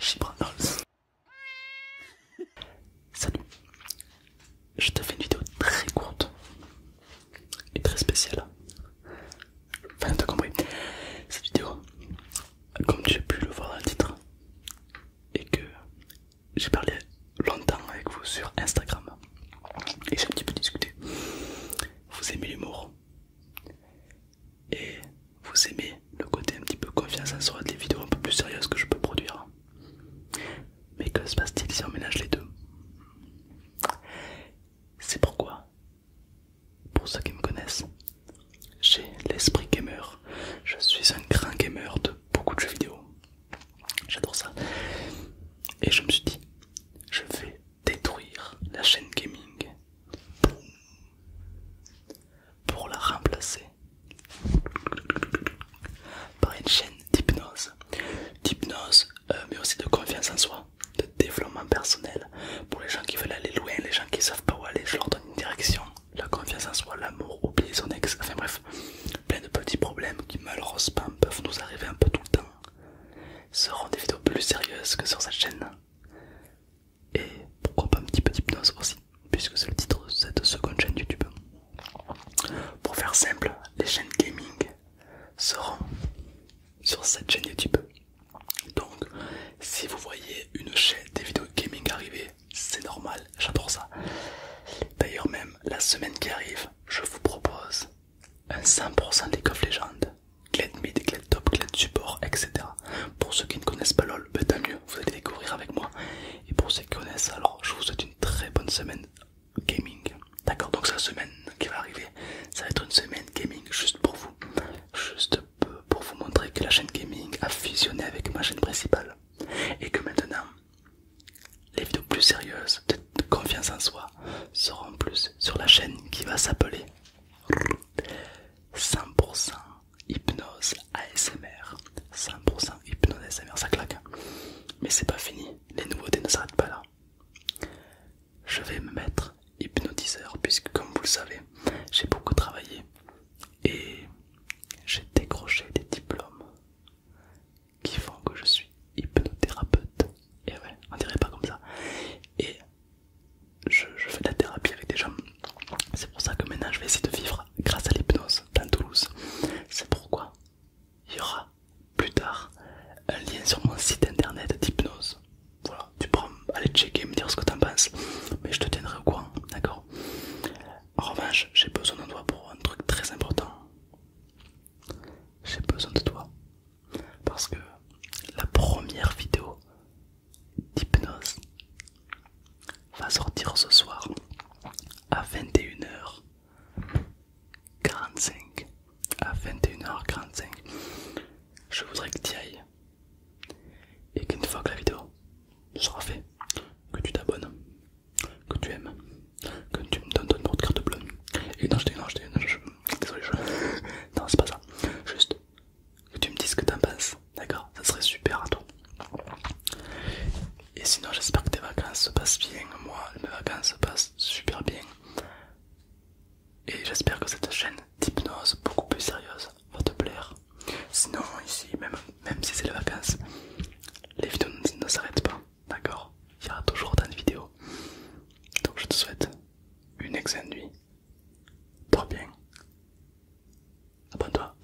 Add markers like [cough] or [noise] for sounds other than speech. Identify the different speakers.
Speaker 1: Chibranos. Salut. Je te fais une vidéo très courte et très spéciale. Enfin, t'as compris. Cette vidéo, comme tu as pu le voir dans le titre, et que j'ai parlé longtemps avec vous sur Instagram et j'ai un petit peu discuté. Vous aimez l'humour et vous aimez le côté un petit peu confiance en soi des vidéos un peu plus sérieuses que je peux produire. Mais que se passe-t-il si on mélange les deux C'est pourquoi, pour ceux qui me connaissent, j'ai l'esprit gamer. Je suis un grand gamer de beaucoup de jeux vidéo. J'adore ça. Et je me suis dit, je vais détruire la chaîne gaming pour la remplacer par une chaîne d'hypnose. D'hypnose, euh, mais aussi de confiance en soi, de développement personnel. Pour les gens qui veulent aller loin, les gens qui savent pas où aller, je leur donne une direction la confiance en hein, soi, l'amour, oublier son ex, enfin bref, plein de petits problèmes qui malheureusement peuvent nous arriver un peu tout le temps, seront des vidéos plus sérieuses que sur cette chaîne. Et pourquoi pas un petit peu d'hypnose aussi, puisque c'est le titre de cette seconde chaîne YouTube. Pour faire simple, les chaînes gaming seront sur cette chaîne YouTube. Donc, si vous voyez une chaîne des vidéos gaming arriver, c'est normal, j'adore ça. D'ailleurs même, la semaine qui arrive, je vous propose un 100% des of légendes Glade mid, glade top, glade support, etc. Pour ceux qui ne connaissent pas LOL, peut ben, tant mieux, vous allez découvrir avec moi. Et pour ceux qui connaissent, alors je vous souhaite une très bonne semaine gaming. D'accord, donc la semaine qui va arriver, ça va être une semaine gaming juste pour vous juste peu pour vous montrer que la chaîne gaming a fusionné avec ma chaîne principale et que maintenant les vidéos plus sérieuses de confiance en soi seront plus sur la chaîne qui va s'appeler 100% hypnose ASMR 100% hypnose ASMR ça claque mais c'est pas fini les nouveautés ne s'arrêtent pas là je vais me mettre hypnotiseur puisque comme vous le savez, j'ai beaucoup travaillé et j'ai décroché des diplômes qui font que je suis hypnothérapeute. Et ouais, on dirait pas comme ça. Et je, je fais de la thérapie avec des gens. C'est pour ça que maintenant je vais essayer de vivre grâce à l'hypnose dans Toulouse. C'est pourquoi il y aura plus tard un lien sur mon site internet d'hypnose. Voilà, tu prends, aller checker et me dire ce que t'en penses, mais je te tiendrai au courant, d'accord En revanche, j'ai besoin de toi pour un truc très important. J'ai besoin de toi parce que la première vidéo d'hypnose va sortir ce soir à 21h 45 à 21h45 je voudrais que tu ailles et qu'une fois que la vidéo sera faite que tu t'abonnes que tu aimes que tu me donnes ton carte de carte bleue et non je dis non je dis désolé je... [laughs] non c'est pas ça juste que tu me dises que t'en penses d'accord ça serait super à toi et sinon, j'espère que tes vacances se passent bien. Moi, mes vacances se passent super bien. Et j'espère que cette chaîne d'hypnose beaucoup plus sérieuse va te plaire. Sinon, ici, même, même si c'est les vacances, les vidéos ne s'arrêtent pas. D'accord Il y aura toujours autant de vidéos. Donc, je te souhaite une excellente nuit. Dors bien. Abonne-toi.